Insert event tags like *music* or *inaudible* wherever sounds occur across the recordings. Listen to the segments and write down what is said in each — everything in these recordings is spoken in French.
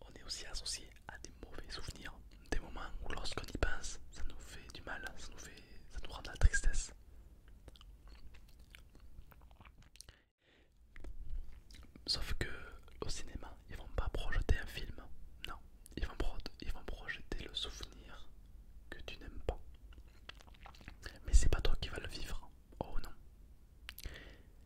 on est aussi associé à des mauvais souvenirs, des moments où lorsqu'on y pense, ça nous fait du mal, ça nous, ça rend de la tristesse. Sauf que au cinéma, ils vont pas projeter un film, non, ils vont, ils vont projeter le souvenir que tu n'aimes pas. Mais c'est pas toi qui vas le vivre, oh non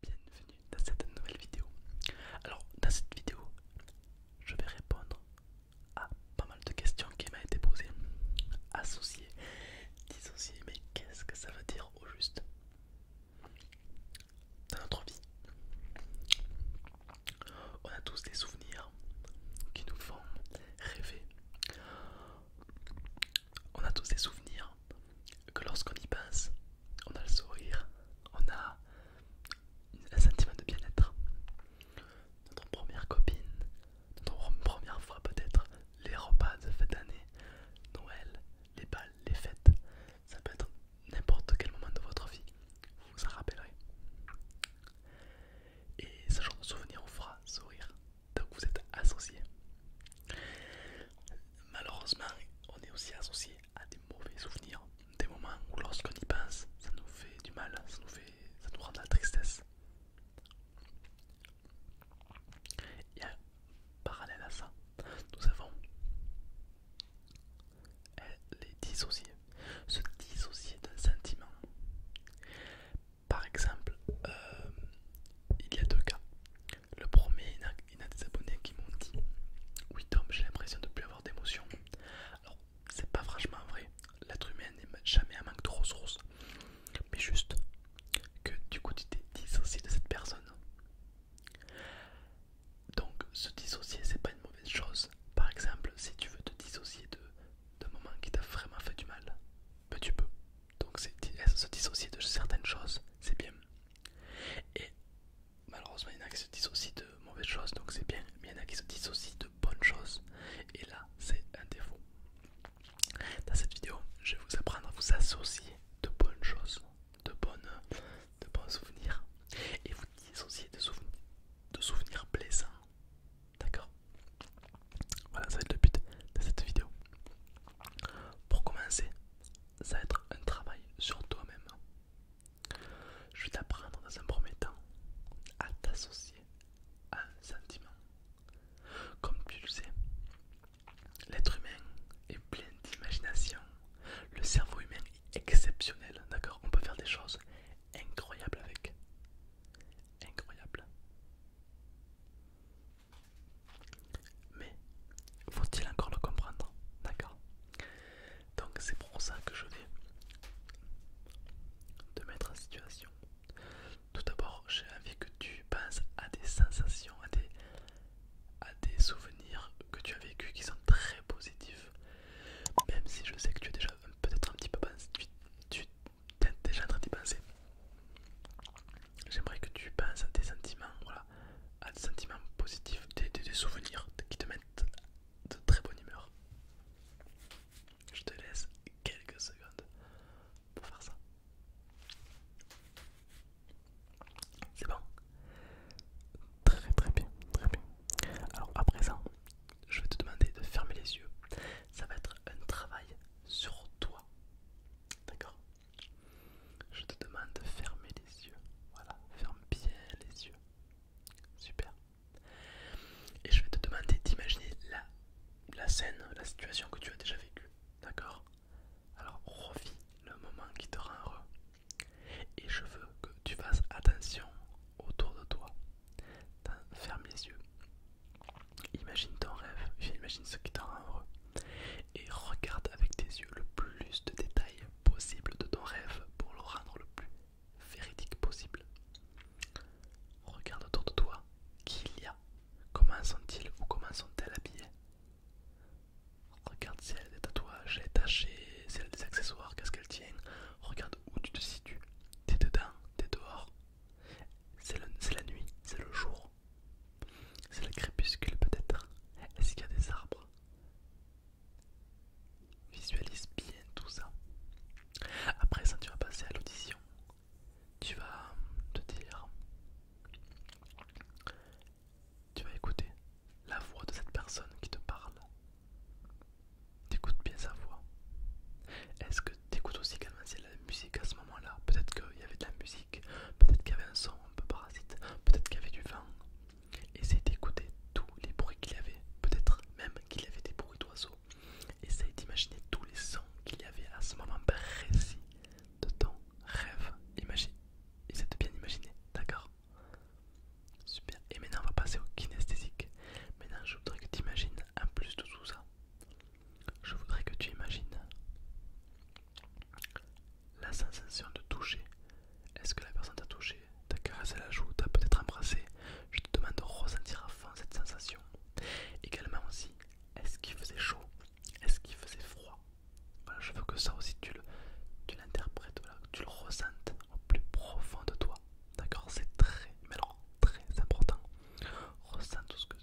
Bienvenue dans cette nouvelle vidéo. Alors, dans cette vidéo, je vais répondre à pas mal de questions qui m'ont été posées. Associé, dissocié, mais qu'est-ce que ça veut dire au juste dans notre vie on a tous des souvenirs qui nous font rêver. On a tous des souvenirs que lorsqu'on y pense, on a le sourire, on a un sentiment de bien-être. Notre première copine, notre première fois peut-être, les repas de cette année Noël, les balles, les fêtes, ça peut être n'importe quel moment de votre vie, vous vous en rappellerez. Et ce genre de souvenir vous fera sourire. que vous êtes associé. Malheureusement, on est aussi associé à des mauvais souvenirs, des moments où lorsqu'on y pense, ça nous fait du mal, ça nous, fait, ça nous rend de la tristesse. Et en parallèle à ça, nous avons elle est dissociée. se dissocier d'un sentiment. Par exemple, euh, il y a deux cas. Le premier, il y a, des abonnés qui m'ont dit Oui, Tom, j'ai l'impression de ne plus avoir d'émotion. Alors, c'est pas franchement vrai. L'être humain n'est jamais un manque de ressources. Mais juste que du coup, tu t'es dissocié de cette personne. Donc se dissocier c'est pas une mauvaise chose. Par exemple, si tu veux te dissocier d'un moment qui t'a vraiment fait du mal, mais ben, tu peux. Donc eh, se dissocier de certaines choses, c'est bien. Et malheureusement, il y en a qui se dissocient de mauvaises choses, donc c'est bien. Mais il y en a qui se dissocient de bonnes choses. Et là, c'est un défaut. Dans cette vidéo, je vais vous apprendre à vous associer de bonnes choses, de, bonnes, de bons souvenirs, et vous dissocier de, souvenirs de souvenirs plaisants. D'accord Voilà, ça va le but de cette vidéo. Pour commencer, ça va être un travail sur toi-même. Je vais t'apprendre dans un premier temps à t'associer à un sentiment. Comme tu le sais, l'être humain est plein d'imagination. Le cerveau humain exceptionnel, d'accord On peut faire des choses incroyables avec. Incroyable. Mais faut-il encore le comprendre, d'accord Donc c'est pour ça que je vais te mettre en situation. Tout d'abord, j'ai envie que tu penses à des sensations, à des, à des souvenirs que tu as vécu qui sont très positifs même si je sais que tu es déjà peut-être un petit peu tu, es déjà en train d'y penser. J'aimerais que tu penses à sentiments, voilà, à des sentiments positifs, des souvenirs qui te mettent de très bonne humeur. Je te laisse quelques secondes pour faire ça. C'est bon Très très bien, très bien. Alors à présent, je vais te demander de fermer les yeux. Ça va être un travail sur toi. D'accord Je te demande de fermer les yeux. Voilà, ferme bien les yeux. Super. Et je vais te demander d'imaginer la, scène, la situation que tu as déjà vécue. D'accord Alors revis le moment qui te rend heureux. Et je veux que tu fasses attention autour de toi. Ferme les yeux. Imagine ton rêve, imagine ce qui t'en rend heureux. Et regarde avec tes yeux le plus de détails possible de ton rêve pour le rendre le plus véridique possible. Regarde autour de toi qui il y a, comment sont-ils ou comment sont-elles habillés. Regarde si elle a des tatouages, elle est si elle a des accessoires, qu'est-ce qu'elle tient. Regarde où tu te situes. T'es dedans, t'es dehors. C'est la nuit, c'est le jour. C'est le crépuscule peut-être. Est-ce qu'il y a des arbres Visualise bien tout ça. Après ça, tu vas passer à l'audition. Tu vas hum, te dire tu vas écouter la voix de cette personne qui te parle. T'écoutes bien sa voix. Est-ce que t'écoutes aussi comment c'est la musique à ce moment-là Peut-être qu'il y avait de la musique, peut-être qu'il y avait un son un peu parasite, peut-être qu'il y avait du vent. Essaye d'écouter tous les bruits qu'il y avait, peut-être même qu'il y avait des bruits d'oiseaux. Essaye d'imaginer tous les sons qu'il y avait à ce moment précis de ton rêve. Imagine, de bien imaginer, d'accord Super. Et maintenant, on va passer au kinesthésique. Maintenant, je voudrais que tu imagines, en plus de tout ça, je voudrais que tu imagines la sensation de toucher. Est-ce que la personne t'a touché, t'a caressé la joue, t'a peut-être embrassé Je te demande de ressentir à fond cette sensation. Également aussi, est-ce qu'il faisait chaud Est-ce qu'il faisait froid voilà, je veux que ça aussi tu l'interprètes, tu, que tu le ressentes au plus profond de toi. D'accord C'est très, très important. Ressens tout ce que.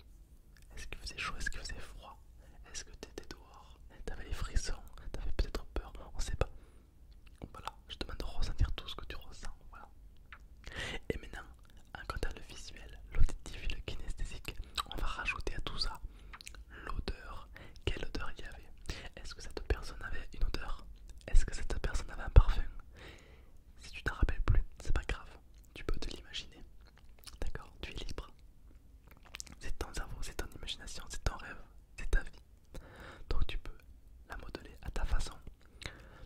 Est-ce qu'il faisait chaud Est-ce qu'il faisait froid Est-ce que t'étais dehors T'avais des frissons T'avais peut-être peur On sait pas. Voilà, je te demande de ressentir tout ce que tu ressens. Voilà. Et maintenant, en à le visuel, l'auditif et le kinesthésique, on va rajouter à tout ça l'odeur. Quelle odeur il y avait Est-ce que cette personne avait une odeur Est-ce que cette personne avait un parfum Si tu t'en rappelles plus, c'est pas grave. Tu peux te l'imaginer. D'accord Tu es libre. C'est ton cerveau, c'est ton imagination, c'est ton rêve, c'est ta vie. Donc tu peux la modeler à ta façon.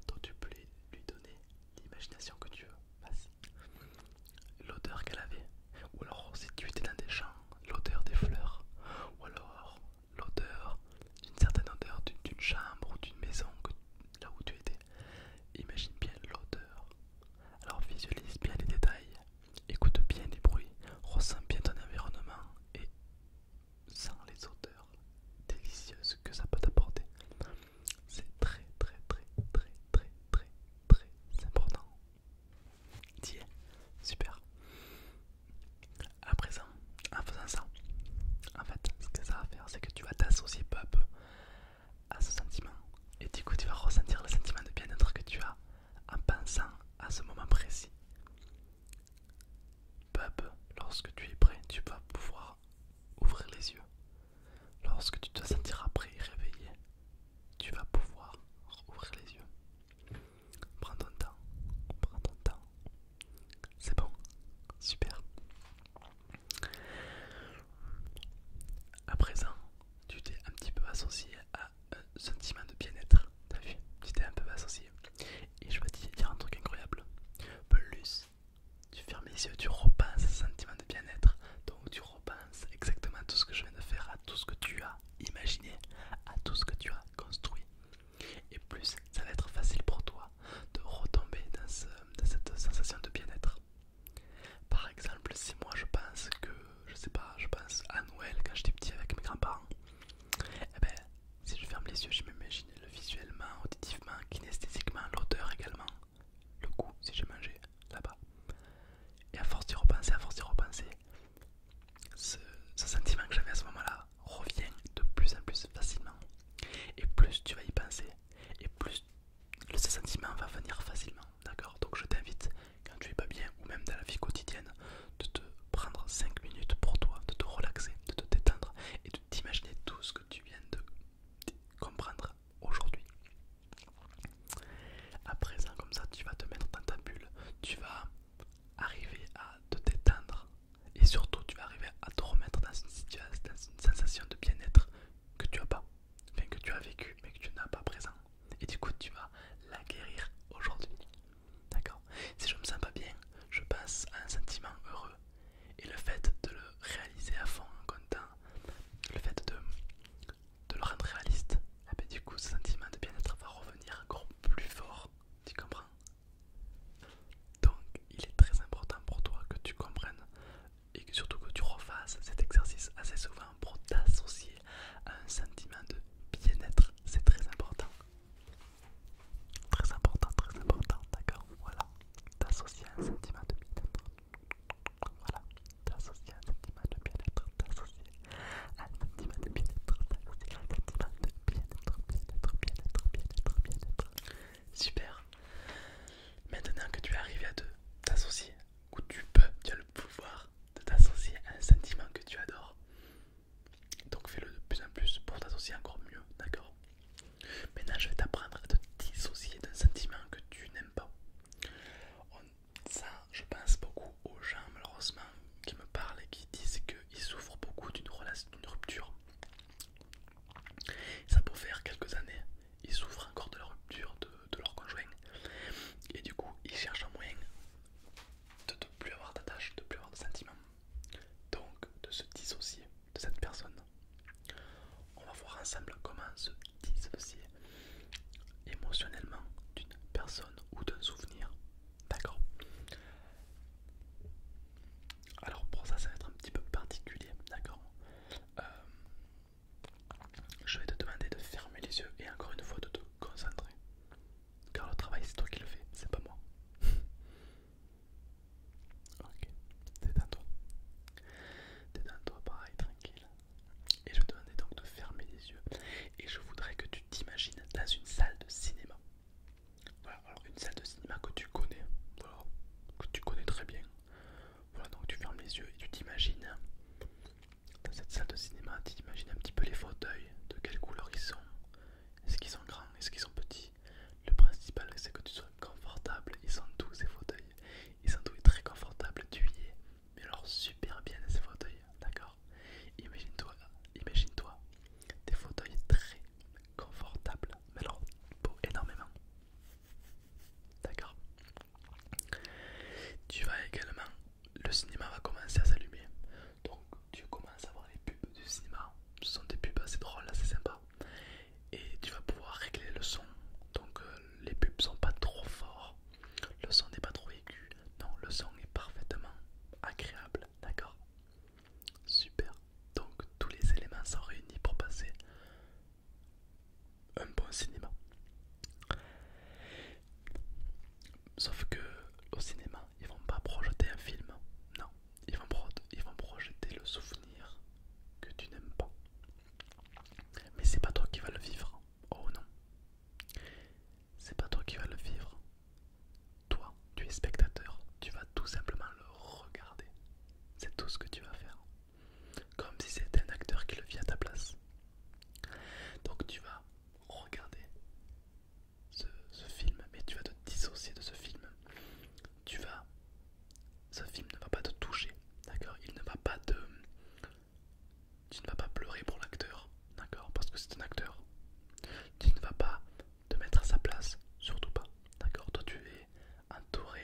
Donc tu peux lui donner l'imagination que tu veux. L'odeur qu'elle avait, ou alors si tu étais dans des champs, l'odeur des fleurs, ou alors l'odeur d'une certaine odeur d'une chambre ou d'une maison que, là où tu étais. Imagine bien l'odeur. Alors visualise bien les détails, écoute bien les bruits, ressens bien ton environnement et sens les odeurs délicieuses que ça peut t'apporter. C'est très très très très très très très important super. À présent, en faisant ça, en fait, ce que ça va faire, c'est que tu vas t'associer peu à peu à ce sentiment. Et du coup, tu vas ressentir le sentiment de bien-être que tu as en pensant à ce moment précis. Peu lorsque tu es prêt, tu vas pouvoir ouvrir les yeux. Lorsque tu te sentiras prêt et réveillé, tu vas pouvoir ouvrir les yeux. Prends ton temps, prends ton temps. C'est bon, super. À présent, tu t'es un petit peu associé à un euh, sentiment de bien-être. T'as vu Tu t'es un peu associé. Et je vais te dire un truc incroyable. Plus tu fermes les yeux, tu repenses ce sentiment de bien-être. Donc repense exactement à tout ce que je viens de faire, à tout ce que tu as imaginé, à tout ce que tu as construit. Et plus ça va être facile pour toi de retomber dans, cette sensation de bien-être. Par exemple, si moi je pense que, je sais pas, je pense à Noël quand j'étais petit avec mes grands-parents, eh ben, si je ferme les yeux, je m'imagine le visuellement, auditivement, kinesthésiquement, l'odeur également, le goût si j'ai mangé là-bas. Et à force d'y repenser, à force d'y repenser, ce, sentiment que j'avais à ce moment-là revient de plus en plus facilement. Et plus tu vas y penser, et plus ce sentiment va venir facilement. D'accord Donc je t'invite, quand tu es pas bien, ou même dans la vie quotidienne, de te prendre 5 minutes pour toi, de te relaxer, de te détendre et de t'imaginer tout ce que tu viens de comprendre aujourd'hui. À présent, comme ça, tu vas te mettre dans ta bulle, tu vas arriver à te détendre et surtout, tu vas arriver à te remettre dans une, situation, dans une sensation de bien-être que tu as pas, bien que tu as vécu mais que tu n'as pas présent. Et du coup, tu vas la guérir aujourd'hui. D'accord Si je me sens pas bien, je passe à un sentiment heureux. Et le fait de le réaliser à fond en comptant, le fait de, de le rendre réaliste, et eh ben, du coup ce sentiment de bien-être va revenir encore plus fort, tu comprends Donc il est très important pour toi que tu comprennes et surtout que tu refasses cet exercice assez souvent pour t'associer à un sentiment de bien-être, c'est très important. Très important, très important, d'accord Voilà, t'associer à un sentiment de bien-être. Voilà, t'associer à un sentiment de bien-être, t'as à de bien-être, t'as à de bien-être, bien-être, bien-être, bien-être, bien-être. Super. Maintenant que tu es arrivé à t'associer, ou tu peux, tu as le pouvoir de t'associer à un sentiment que tu adores. Donc fais-le de plus en plus pour t'associer encore mieux, d'accord Maintenant je vais t'apprendre à te dissocier d'un sentiment que tu n'aimes pas ça, je pense beaucoup aux gens malheureusement qui me parlent et qui disent qu'ils souffrent beaucoup d'une rupture. Ça peut faire quelques années, ils souffrent encore de la rupture de, leur conjoint et du coup ils cherchent un moyen de ne plus avoir d'attache, de ne plus avoir de sentiments, donc de se dissocier de cette personne. On va voir ensemble comment se dissocier émotionnellement d'une personne ou d'un souvenir. D'accord Alors pour ça, ça va être un petit peu particulier. D'accord euh, Je vais te demander de fermer les yeux et encore une fois de te concentrer. Car le travail, c'est toi qui le fais, c'est pas moi. *laughs* ok, détends-toi. dans toi pareil, tranquille. Et je te demandais donc de fermer les yeux. Et je voudrais que tu t'imagines dans une salle de cinéma. Voilà, une salle de cinéma que tu connais. que tu connais très bien. Voilà, donc tu fermes les yeux et tu t'imagines. Dans cette salle de cinéma, tu t'imagines un petit peu les fauteuils, de quelle couleur ils sont. Est-ce qu'ils sont grands Est-ce qu'ils sont petits Le principal, c'est que tu sois confortable. Ils sont tous ces fauteuils. Ils sont tous très confortables, es, mais alors super bien ces fauteuils, d'accord Imagine-toi, imagine-toi, des fauteuils très confortables, mais alors beaux énormément, d'accord Tu vas également, le cinéma va commencer à s'allumer, donc tu commences à voir les pubs du cinéma, ce sont des pubs assez drôles, assez sympas, et tu vas pouvoir régler le son, donc euh, euh, les pubs sont pas trop forts, le son n'est pas trop aigu. Non, le son est parfaitement agréable, d'accord Super. Donc tous les éléments sont réunis pour passer un bon cinéma. Sauf que au cinéma, ils vont pas projeter un film. Non, ils vont, ils vont projeter le souvenir que tu n'aimes pas. Mais c'est pas toi qui vas le vivre. Oh non. C'est pas toi qui vas le vivre. Toi, tu es spectateur. Tu vas tout simplement le regarder. C'est tout ce que tu vas faire. Comme si c'était un acteur qui le vit à ta place. Donc tu vas regarder ce, ce film, mais tu vas te dissocier de ce film. Tu vas ce film ne va pas te toucher, d'accord Il ne va pas te... Tu ne vas pas pleurer pour l'acteur, d'accord Parce que c'est un acteur. Tu ne vas pas te mettre à sa place, surtout pas, d'accord Toi tu es entouré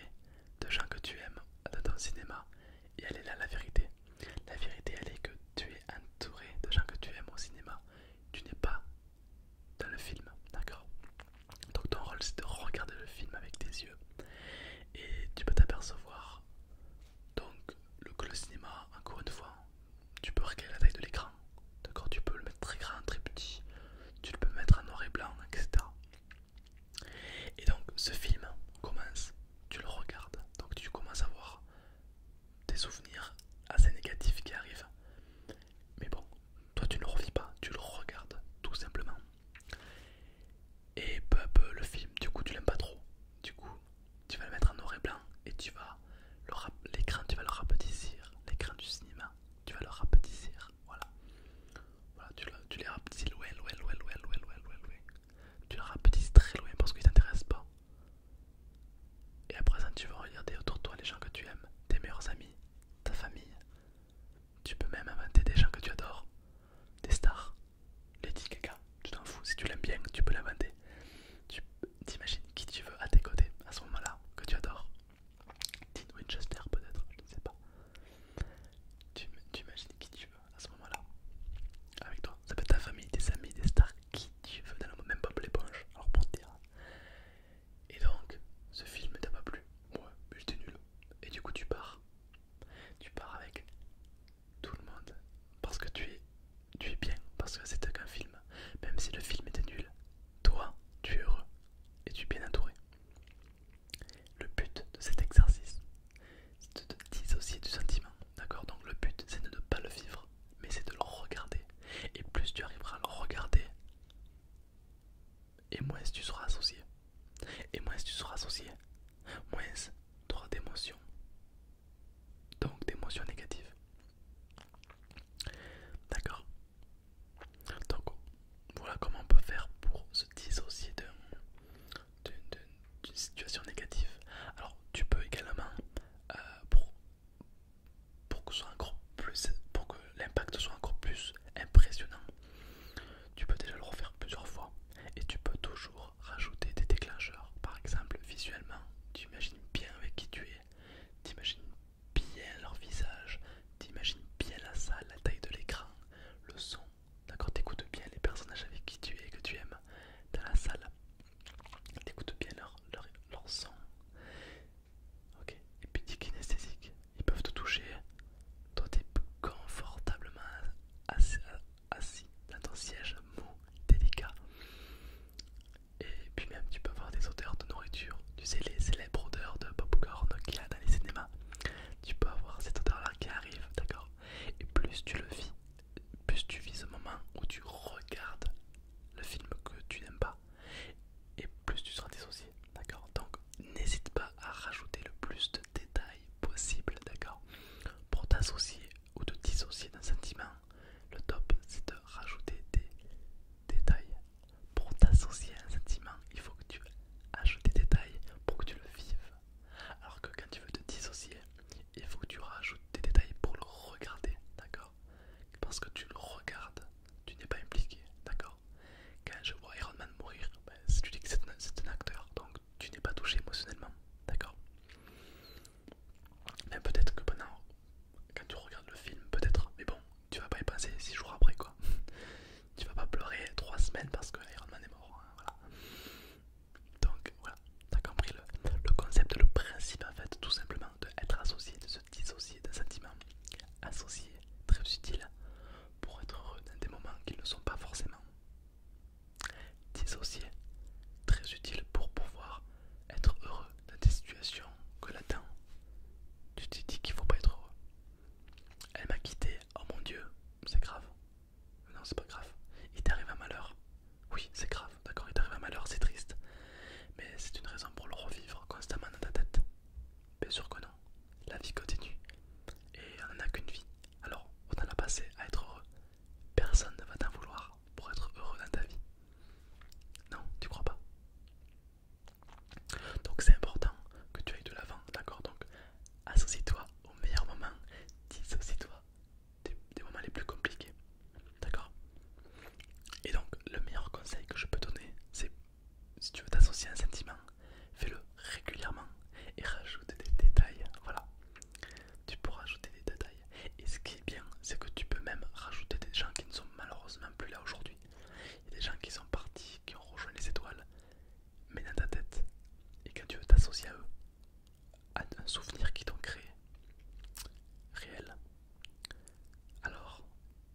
de gens que tu aimes dans ton cinéma et elle est là la vérité. La vérité elle est que tu es entouré de gens que tu aimes au cinéma. Tu n'es pas dans le film, d'accord Donc ton rôle c'est de regarder le film avec tes yeux et tu peux t'apercevoir donc le, que le cinéma, encore une fois, tu peux regarder la taille de l'écran, Tu peux le mettre très grand, très petit, tu le peux mettre en noir et blanc, etc. Et donc ce film commence, tu le regardes, donc tu commences à voir des souvenirs assez négatifs qui arrivent. Mais bon, toi tu ne le revis pas, tu le regardes tout simplement. Et peu à peu, le film, du coup, tu l'aimes pas trop. Du coup, tu vas le mettre en noir et blanc et tu vas l'écran, tu vas le rapetisser. L'écran du cinéma, tu vas le rapetisser. Voilà. Voilà, tu les rapetisses loin, loin, loin, loin, loin, loin, Tu le rapetisses très loin parce qu'il t'intéresse pas. Et à présent, tu vas regarder autour de toi les gens que tu aimes, tes meilleurs amis, ta famille, tu peux même inventer des gens que tu adores, des stars, Lady Gaga, tu t'en fous, si tu l'aimes bien, tu peux l'inventer. Tu t'imagines qui tu veux à tes côtés à ce moment-là, que tu adores. Dean Winchester peut-être, je ne sais pas. Tu imagines qui tu veux à ce moment-là, avec toi. Ça peut être ta famille, tes amis, des stars, qui tu veux, dans le même Bob l'éponge, alors pour te dire. Et donc, ce film t'a pas plu Moi, ouais, mais j'étais nul. Et du coup, tu pars. Tu pars avec tout le monde. Parce que tu es, tu es bien. Parce que c'était un film. Même si le film était nul, toi, tu es heureux. Et tu es bien entouré. Le but de cet exercice, c'est de te dissocier du sentiment. D'accord Donc le but, c'est de ne pas le vivre, mais c'est de le regarder. Et plus tu arriveras à le regarder, et moins tu seras associé. Et moins tu seras associé, moins tu auras d'émotions. Donc d'émotions négatives. D'accord Donc voilà comment on peut faire pour se dissocier d'une situation négative. Alors tu peux également, euh, pour, pour que, que l'impact soit encore plus impressionnant, tu peux déjà le refaire plusieurs fois et tu peux toujours rajouter des déclencheurs. Par exemple, visuellement, tu imagines bien avec qui tu es, tu bien leur visage, tu imagines bien la salle, la taille de l'écran, le son. D'accord, t'écoutes bien les personnages avec qui tu es et que tu aimes dans la salle. T'écoutes bien leur, son. Ok, et puis t'es kinesthésique ils peuvent te toucher. Toi, t'es confortablement euh, assis, dans ton siège mou, délicat. Et puis même, tu peux avoir des odeurs de nourriture. Tu sais, les célèbres odeurs de popcorn qu'il y a dans les cinémas. Tu peux avoir cette odeur-là qui arrive, d'accord Et plus tu le vis, plus tu vis ce moment où tu regardes le film que tu n'aimes pas et plus tu seras dissocié, d'accord Donc n'hésite pas à rajouter le plus de détails possible, d'accord Pour t'associer ou te dissocier d'un sentiment, le top c'est de rajouter des détails. Pour t'associer à un sentiment, il faut que tu ajoutes des détails pour que tu le vives. Alors que quand tu veux te dissocier, il faut que tu rajoutes des détails pour le regarder, d'accord Parce que tu le regardes, tu n'es pas impliqué, d'accord Quand je vois Iron Man mourir, ben, tu dis que c'est un, acteur, donc tu n'es pas touché émotionnellement, d'accord Mais ben, peut-être que pendant, quand tu regardes le film, peut-être, mais bon, tu vas pas y penser 6 jours après, quoi. *laughs* tu vas pas pleurer 3 semaines parce que Iron Man est mort, Donc, hein, voilà. Donc voilà, t'as compris le, concept, le principe en fait, tout simplement, d'être associé, de se dissocier d'un sentiment associé, très utile, pour être heureux dans des moments qui ne sont pas forcément. dissociés. très utile pour pouvoir être heureux dans des situations que là tu te dis qu'il faut pas être heureux. Elle m'a quitté, oh mon dieu, c'est grave. Non, c'est pas grave. Il t'arrive un malheur. Oui, c'est grave, d'accord, il t'arrive un malheur, c'est triste. Mais c'est une raison pour le revivre constamment dans ta tête. Bien sûr que non. La vie continue. Et on n'en a qu'une vie. Alors, autant la passer à être heureux. Personne ne va t'en vouloir pour être heureux dans ta vie. Non, tu crois pas. Donc c'est important que tu ailles de l'avant, d'accord Donc associe-toi au meilleur moment, dissocie-toi des moments les plus compliqués, d'accord Et donc le meilleur conseil que je peux donner, c'est si tu veux t'associer à un sentiment, fais-le régulièrement et rajoute des détails. Voilà, tu peux rajouter des détails. Et ce qui est bien, c'est que tu peux même rajouter des gens qui ne sont malheureusement plus là aujourd'hui. Il des gens qui sont partis, qui ont rejoint les étoiles, mais dans ta tête. Et quand tu veux t'associer à eux, à un souvenir qu'ils t'ont créé, réel, alors,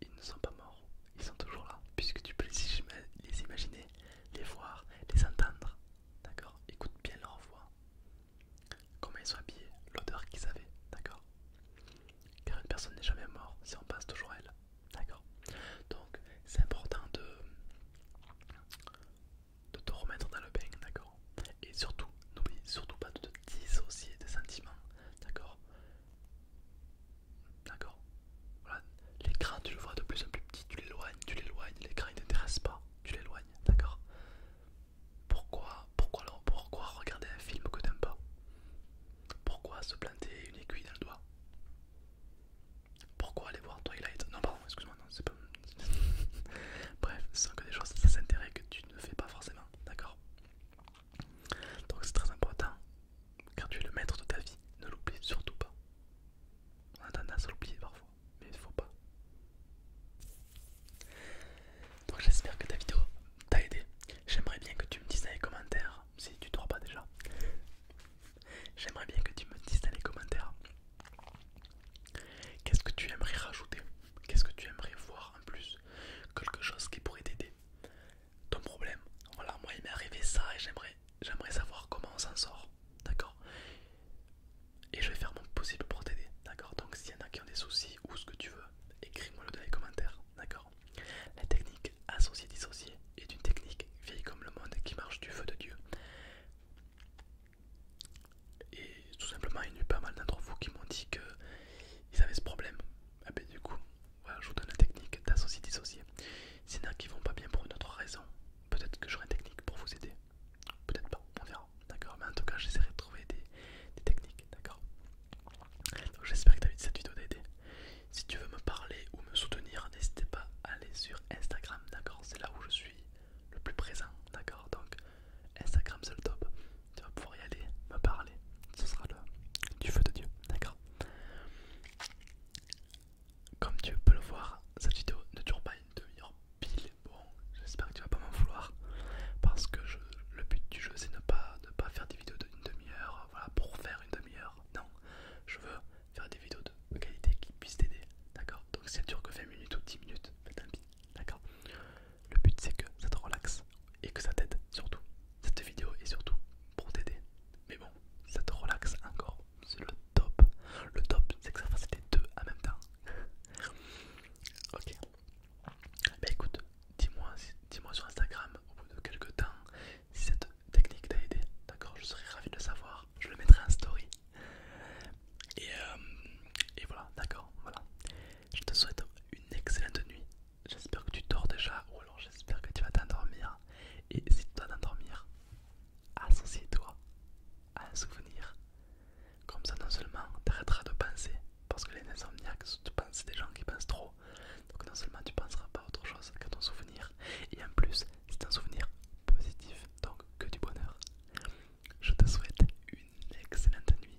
ils ne sont pas morts, ils sont toujours là, puisque tu peux les imaginer, les voir, les entendre. D'accord Écoute bien leur voix, comment ils sont habillés, l'odeur qu'ils avaient, d'accord Car une personne n'est jamais morte si on passe toujours à elle, d'accord Donc, c'est important de, de te remettre dans le bain, d'accord Et surtout, n'oublie surtout pas de te dissocier des sentiments, d'accord D'accord Voilà, l'écran tu le vois de plus en plus petit, tu l'éloignes, tu l'éloignes, l'écran il t'intéresse pas, tu l'éloignes, d'accord Pourquoi, pourquoi, pourquoi regarder un film que t'aimes pas Pourquoi se planter une aiguille dans le doigt Pourquoi aller voir Twilight Non pardon, excuse-moi, non, c'est pas... *laughs* Bref, ce sont que des choses, ça s'intéresse que tu ne fais pas forcément, d'accord donc c'est très important, quand tu es le maître de ta vie, ne l'oublie surtout pas. On a tendance à l'oublier parfois, mais il ne faut pas. Donc j'espère que ta vidéo t'a aidé. J'aimerais bien que tu me dises dans les commentaires, si tu ne vois pas déjà, j'aimerais bien que tu me dises dans les commentaires qu'est-ce que tu aimerais rajouter, qu'est-ce que tu aimerais voir en plus, quelque chose qui pourrait t'aider ton problème. Voilà, moi il m'est arrivé ça et j'aimerais j'aimerais savoir comment on s'en sort. D'accord Et je vais faire mon possible pour t'aider. D'accord Donc s'il y en a qui ont des soucis ou ce que tu veux, écris-moi le dans les commentaires. D'accord La technique associée-dissociée est une technique vieille comme le monde qui marche du feu de Dieu. Et tout simplement, il y a eu pas mal d'entre vous qui m'ont dit qu'ils avaient ce problème. Ah ben du coup, voilà, je vous donne la technique d'associer-dissocier. S'il y en a qui vont pas bien pour une autre raison, peut-être que j'aurai une technique pour vous aider. Peut-être pas, on verra. D'accord Mais en tout cas, j'essaierai de trouver des, techniques. D'accord j'espère que t'as vu cette vidéo aidé. Si tu veux me parler ou me soutenir, n'hésitez pas à aller sur Instagram. D'accord C'est là où je suis le plus présent. D'accord Donc Instagram, c'est le top tu vas pouvoir y aller, me parler. Ce sera le du feu de Dieu, d'accord Comme tu peux le voir, cette vidéo ne dure pas une demi-heure pile. Bon, j'espère que tu vas pas m'en vouloir parce que le but du jeu c'est de pas, ne pas faire des vidéos d'une demi-heure, voilà, pour faire une demi-heure. Non, je veux faire des vidéos de qualité qui puissent t'aider, d'accord Donc si elle dure que 20 minutes ou 10 minutes, faites tant pis, d'accord le but c'est que ça te relaxe et que ça t'aide surtout. Cette vidéo est surtout pour t'aider. Mais bon, ça te relaxe encore. C'est le top. Le top c'est que ça fasse les deux en même temps. *laughs* ok. Bah écoute, dis-moi dis sur Instagram au bout de quelques temps si cette technique t'a aidé. D'accord, je serais ravi de le savoir. Je le mettrai en story. Et, euh, et voilà, d'accord, voilà. Je te souhaite une excellente nuit J'espère que tu dors déjà ou alors j'espère que tu vas t'endormir. Et si tu dois t'endormir, associe-toi à un souvenir. Comme ça non seulement tu arrêteras de penser, parce que les insomniaques, tu penses, des gens qui pensent trop. Donc non seulement tu penseras pas à autre chose que ton souvenir, et en plus c'est un souvenir positif, donc que du bonheur. Je te souhaite une excellente nuit